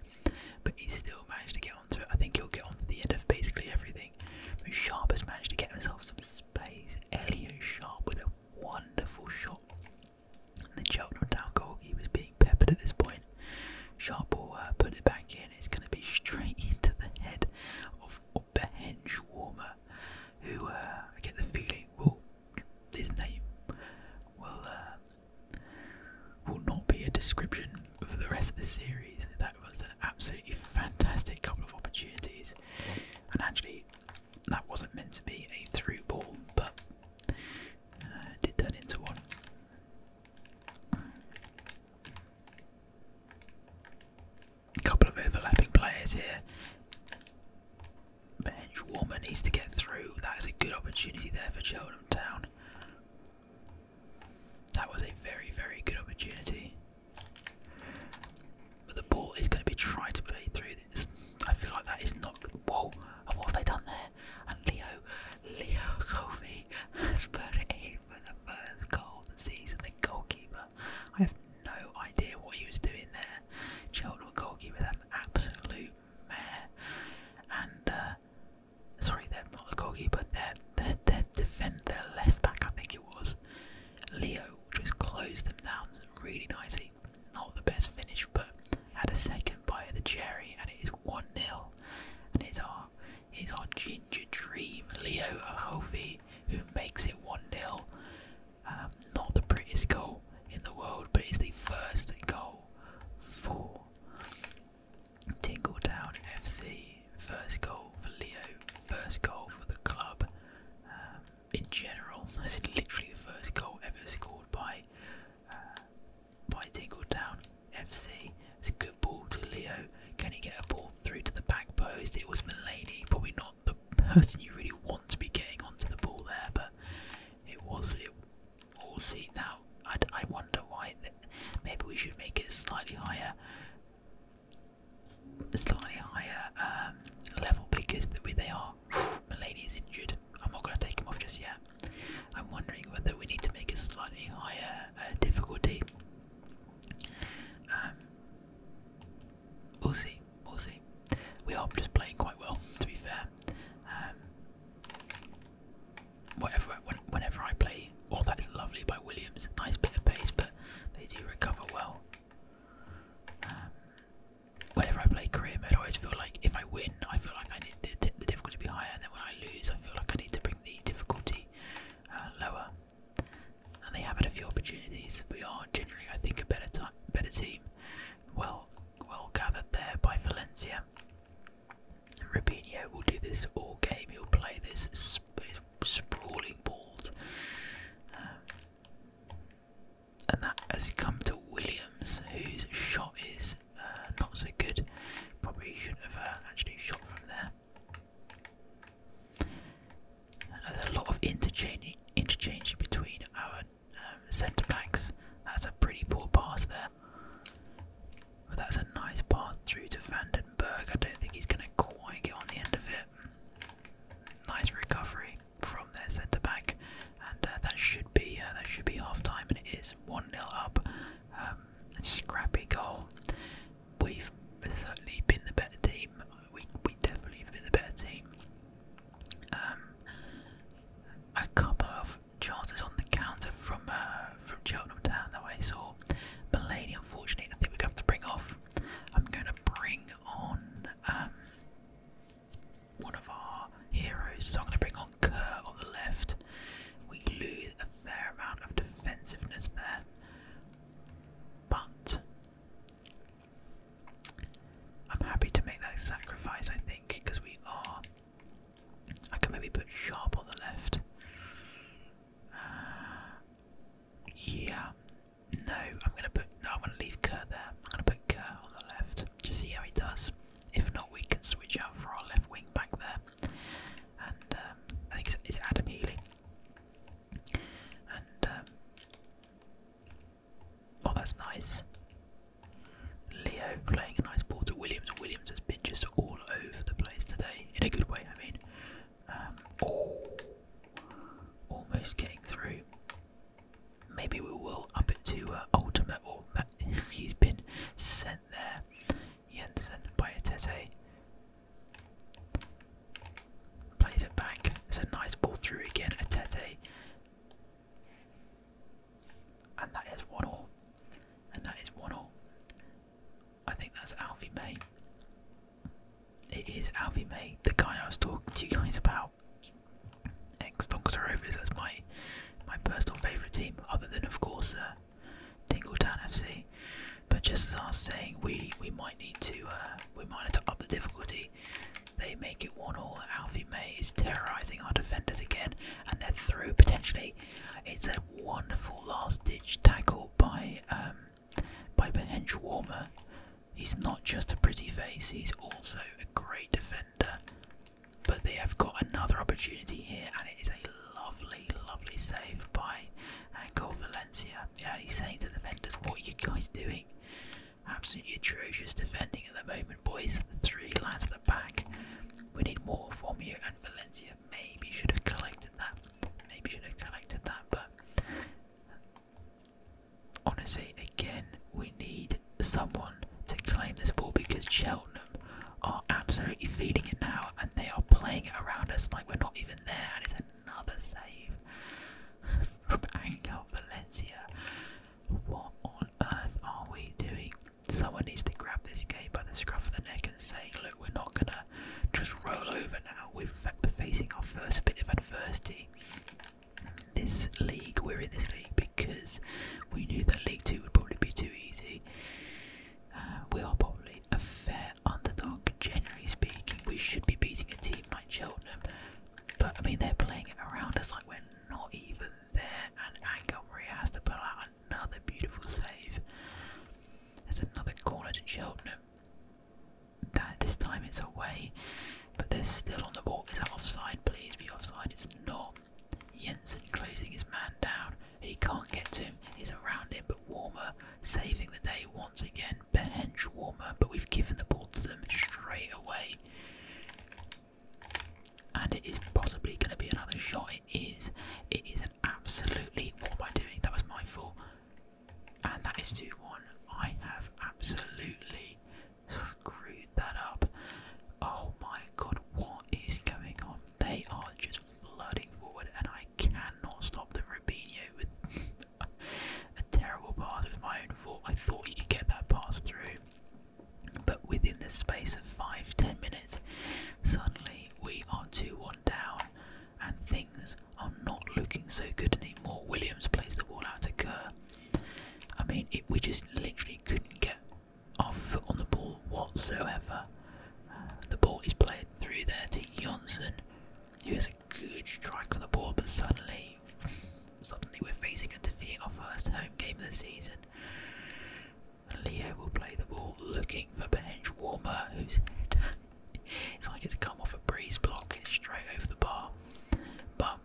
Speaker 1: but he still managed to get onto it. I think he'll get onto the end of basically everything. Sharp has managed to get himself some space. Elliot Sharp with a wonderful shot. And the down goal. He was being peppered at this point. Sharp will uh, put it back in. It's going to be straight *laughs* into the head of Bench Warmer who uh, I get the feeling will his name will uh, will not be a description of the rest of the series. That was an absolutely fantastic couple of opportunities, and actually that wasn't meant to be a through ball, but uh, it did turn into one. A couple of overlapping players here. Bench Warmer needs to get through. That is a good opportunity there for Cheltenham Town. That was a very, very good opportunity. But the ball is going to be trying to play through this. I feel like that is not. Whoa! And what have they done there? And Leo, Leo Covey has put it in for the first goal of the season. The goalkeeper no idea what he was doing there. Cheltenham goalkeeper had an absolute mare, and uh, sorry, they're not the goalkeeper, their they're defend their left back, I think it was Leo, just closed them down really nicely. Not the best finish, but had a second bite of the cherry, and it is one 0 and it's our it's our ginger dream Leo Ahofi who makes it one 0 um, not the prettiest goal in the world, but it's the first goal for Tingletown FC. First goal for Leo, first goal for the club um, in general. This *laughs* is literally the first goal ever scored by uh, by Tingletown FC. It's a good ball to Leo. Can he get a ball through to the back post? It was Mulaney, probably not the person you really want to be getting onto the ball there, but it was it all seen now. I, I wonder why. maybe we should make it slightly higher, slightly higher um, level because the way they are, *sighs* Malaney is injured. I'm not going to take him off just yet. I'm wondering whether we need to make a slightly higher uh, difficulty. Um, we'll see, we'll see. We are just playing quite well, to be fair. Um, whatever, whenever I play, all oh, that is lovely by Williams. Nice bit of pace, but they do recover well. Um, whenever I play career I always feel like if I win, I feel like I need the, difficulty to be higher, and then when I lose, I feel like I need to bring the difficulty uh, lower and they have had a few opportunities. We are generally, I think, a better team. Well, well gathered there by Valencia. And will do this all game. He'll play this sprawling ball, uh, and that has come to Williams, whose shot is uh, not so good. Probably shouldn't have uh, actually shot from there. There's a lot of interchanging interchange between our um, centre backs. That's a pretty poor pass there. But that's a nice pass through to Vandenberg. I don't think he's going to quite get on the end of it. Nice recovery from their centre back, and uh, that should be uh, that should be half time, and it is one 0 up. Um, scrappy goal. We've certainly been the better team we we definitely have been the better team. Um, a couple of chances on the counter from uh, from Cheltenham Town that I saw. Mulaney, unfortunately, I think we're going to bring off. I'm going to bring on um, one of our heroes. So I'm going to bring on Kerr on the left. We lose a fair amount of defensiveness there, but I'm happy to make that sacrifice, I think, because we are. I can maybe put sharp on the left. Uh, yeah. No, I'm gonna put. No, I'm gonna leave Kurt there. I'm gonna put Kurt on the left. Just see how he does. If not, we can switch out for our left wing back there. And um, I think it's, it's Adam Healy. And um, Oh, that's nice. Leo playing a nice ball to Williams. Williams has been just all over the place today, in a good way, I mean. Um, oh, almost getting through. Maybe we will up it to uh, ultimate, or oh, that *laughs* he's been sent there. Jensen by Atete. Plays it back. It's a nice ball through again. Atete and that is 1 or, And that is 1 or. I think that's Alfie May. It is Alfie May, the guy I was talking to you guys about. Ex Doncaster Rovers, that's my my personal favourite team, other than of course uh, Tingletown FC. But just as I was saying, we we might need to uh, we might have to up the difficulty they make it one all. Alfie May is terrorising our defenders again, and they're through potentially. It's a wonderful last-ditch tackle by um, by Bench Warmer. He's not just a pretty face; he's also a great defender. But they have got another opportunity here, and it is a lovely, lovely save by Angel uh, Valencia. Yeah, he's saying to the defenders, "What are you guys doing?" Absolutely atrocious defending at the moment, boys. Three lads at the back. We need more from you, and Valencia maybe should have collected that. Maybe should have collected that, but honestly, again, we need someone to claim this ball because Cheltenham are absolutely feeding it now, and they are playing it around us like we're not even there. And it's another save *laughs* from Angel Valencia. What on earth are we doing? Someone needs to grab this guy by the scruff of the neck and say, Look, we're not gonna just roll over now. We're facing our first bit of adversity. This league, we're in this league because we knew that League 2 would probably be too easy. Uh, we are probably a fair underdog, generally speaking. We should be beating a team like." like But I mean, they're playing it around us like we're not even there. And Angel Maria has to pull out another beautiful save. There's another corner to Cheltenham. That this time it's away, but they're still on the ball. Is that offside? Please be offside. It's not. Jensen closing his man down, and he can't get to him. He's around him, but Warmer saving the day once again. Bench Warmer, but we've given the ball to them straight away. And it is possibly going to be another shot. It is. It is an absolutely. What am I doing? That was my fault. And that is 2 1. I have absolutely screwed that up. Oh my god, what is going on? They are just flooding forward, and I cannot stop them. Rubinho with *laughs* a terrible pass. with my own fault. I thought you could get that pass through. But within the space of five ten minutes, suddenly we are 2 1 down, and things are not looking so good anymore. Williams plays the ball out to Kerr. I mean, we just literally couldn't get our foot on the ball whatsoever. Uh, the ball is played through there to Johnson, He has a good strike on the ball, but suddenly suddenly, we're facing a defeat, our first home game of the season. Leo will play the ball, looking for bench warmer, whose head *laughs* it's like it's come off a breeze block It's straight over the bar. But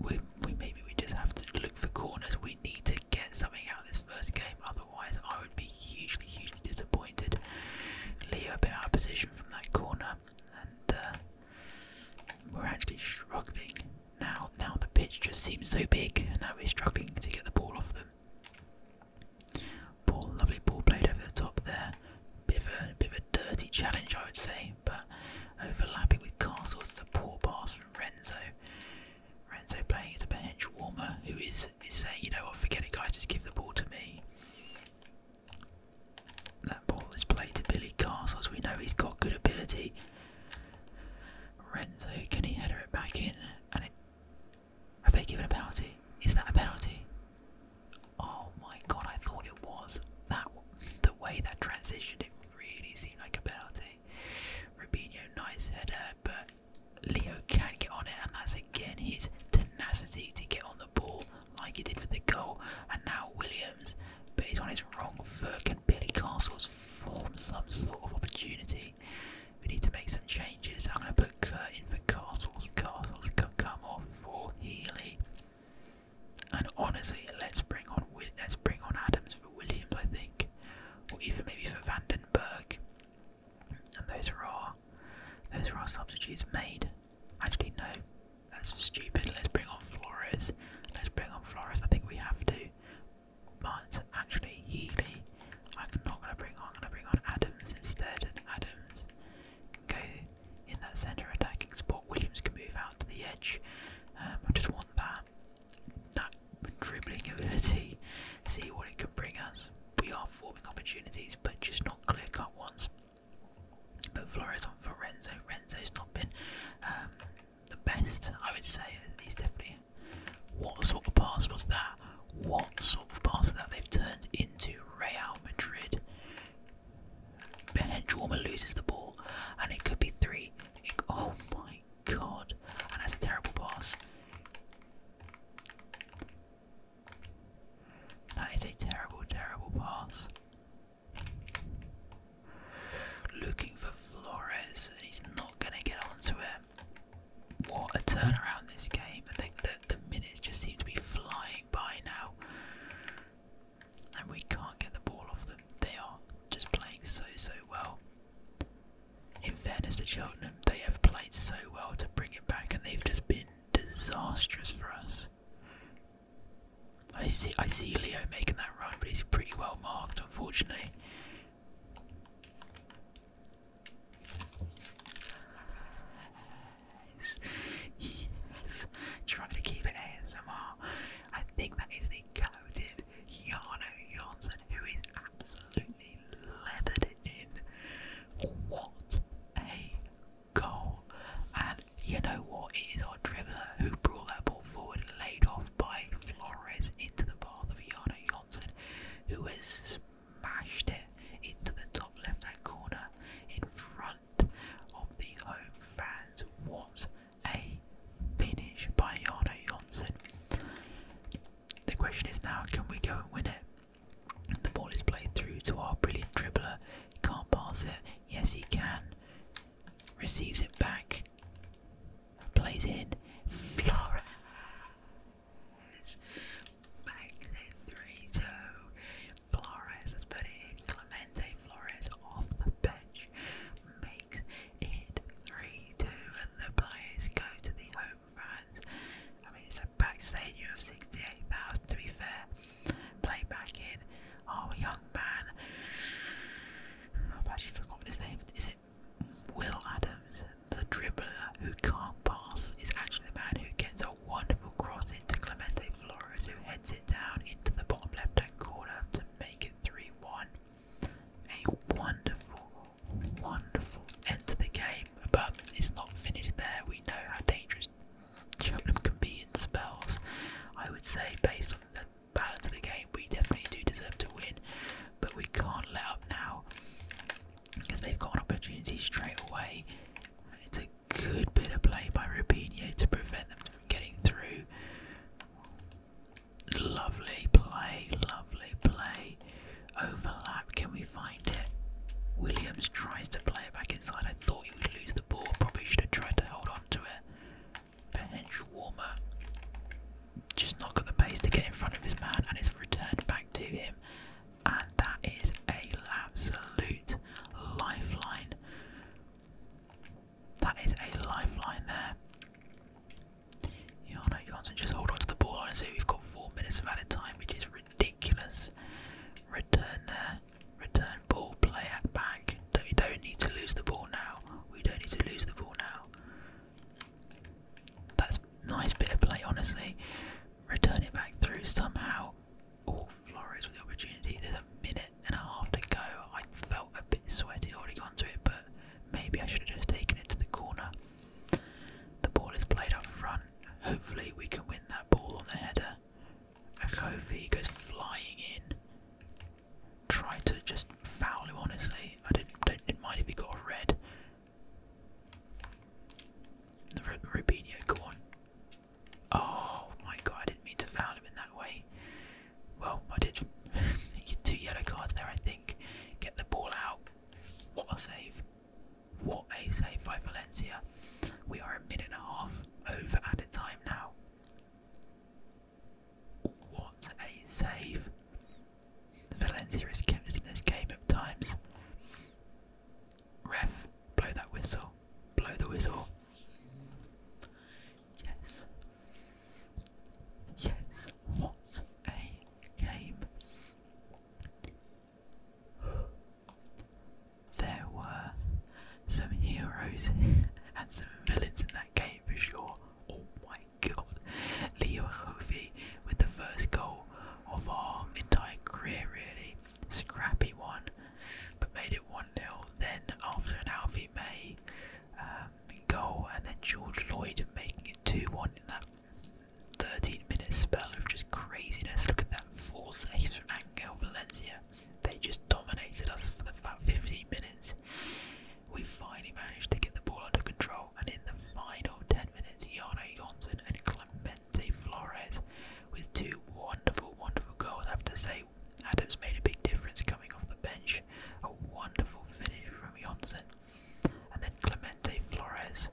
Speaker 1: we, we maybe we just have to look for corners. We need to get something out of this first game, otherwise I would be hugely, hugely disappointed. Leo a bit out of position from that corner, and. Uh, we're actually struggling now. Now the pitch just seems so big, and now we're struggling to get the ball off them. Ball, lovely ball played over the top there. Bit of a, bit of a dirty challenge, I would say, but overlapping with Castle's the poor pass from Renzo. Renzo playing as a bench warmer who is, is saying, you know what, forget it, guys, just give the ball to me. That ball is played to Billy Castles. We know he's got good ability. Renzo, can he header it back in? And have they given a penalty? Is that a penalty? Oh my god! I thought it was. That the way that transitioned, it really seemed like a penalty. Rubinho, nice header, but Leo can get on it, and that's again his tenacity to get on the ball like he did with the goal. And now Williams but he's on his wrong foot. and Billy Castles form some sort of opportunity? We need to make some changes. I'm going to put in for Castles. Castles can come off for Healy. And honestly, let's bring on let's bring on Adams for Williams, I think, or even maybe for Vandenberg. And those are our those are our substitutes made. Actually, no, that's stupid. Let's bring on Flores. Let's bring on Flores. I think we have to. But actually, Healy, I'm not going to bring on. I'm going to bring on Adams instead. And Adams can go in that centre attacking spot. Williams can move out to the edge. Um, I just want that, that dribbling ability. *laughs* See what it can bring us. We are forming opportunities, but just not clear cut ones. But Flores on for Renzo. Renzo's not been um, the best, I would say. He's definitely. What sort of pass was that? What sort of pass that they've turned into Real Madrid? Benjorma loses the ball, and it could be three. oh my god! And that's a terrible pass. That is a terrible, terrible pass. Looking for Flores, and he's not going to get onto him. What a turnaround this game. I think that the minutes just seem to be flying by now. And we can't get the ball off them. They are just playing so, so well. In fairness to Cheltenham, they have played so well to bring it back, and they've just been disastrous for us. I see I see Leo making that run, but he's pretty well marked unfortunately. Yes, yes. Try to keep it ASMR. I think that is the coated Yano Johnson who is absolutely leathered in. What a goal! And you know what? It is our dribbler who brought that ball forward laid off by Flores into the path of Yana Johnson, who has smashed it into the top left hand corner in front of the home fans. What a finish by Yana Johnson! The question is now can we go and win it? The ball is played through to our brilliant dribbler. He can't pass it. Yes, he can receives it back, plays in Flora. Makes it 3 2. Flores has put in. Clemente Flores off the bench makes it 3 2. And the players go to the home fans. I mean, it's a packed stadium of 68,000 to be fair. Play back in. Oh, a young man. I've actually forgotten his name. Is it Will Adams? The dribbler who can't pass is actually the man who gets a wonderful cross into Clemente Flores, who heads it down into the bottom left hand corner to make it 3 1. A wonderful, wonderful end to the game, but it's not finished there. We know how dangerous Cheltenham can be in spells. I would say, based on the balance of the game. We definitely do deserve to win, but we can't let up now because they've got an opportunity straight away. It's a good bit of play by Rubinho to prevent them from getting through. Lovely play, lovely play. Overlap, can we find it? Williams tries to play it back inside. I thought he would lose the ball, probably should have tried to hold on to it bench warmer just not got the pace to get in front of his man and it's returned back to him and that is a absolute lifeline that is a lifeline there Yano Johnson just hold on to the ball honestly we've got four minutes of added time which is ridiculous return there return ball play at back we don't need to lose the ball now. We don't need to lose the ball now. That's nice bit of play, honestly. Return it back through somehow. Oh, Flores with the opportunity. There's a minute and a half to go. I felt a bit sweaty, already gone to it, but maybe I should have just taken it to the corner. The ball is played up front. Hopefully, we can win that ball on the header. Akofi goes flying in tried to just foul him, honestly. I didn't, don't, didn't mind if he got a red. Rubinho, go on. Oh my god, I didn't mean to foul him in that way. Well, I did. *laughs* Two yellow cards there, I think. Get the ball out. What a save. What a save by Valencia. We are a minute and a half over added time now. What a save! Valencia has kept us in this game at times. Ref, blow that whistle. Blow the whistle. Yes. Yes, what a game. There were some heroes and some villains in that game for sure. Oh my god. Leo Hovey with the first goal of our entire career, really. Scrappy one, but made it 1 0. Then, after an Alfie May um, goal, and then George Lloyd making it 2 1 in that 13 minute spell of just craziness. Look at that four saves from Angel Valencia. They just dominated us for about 15 minutes. We finally managed to get the ball under control, and in the final 10 minutes, Jano Yonson and Clemente Flores with two wonderful, wonderful goals. I have to say, Adams made a big difference coming off the bench. A wonderful finish from Yonson, And then Clemente Flores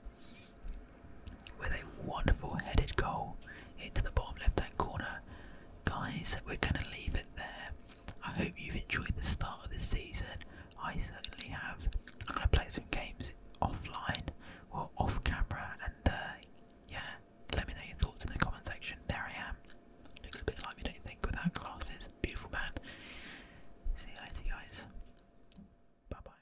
Speaker 1: with a wonderful headed goal into the bottom left hand corner. Guys, we're going to leave it there. I hope you've enjoyed the start of the season. I certainly have. I'm gonna play some games offline or off camera, and uh, yeah, let me know your thoughts in the comment section. There I am. Looks a bit like me, don't you think, without glasses. Beautiful man. See you later, guys. Bye bye.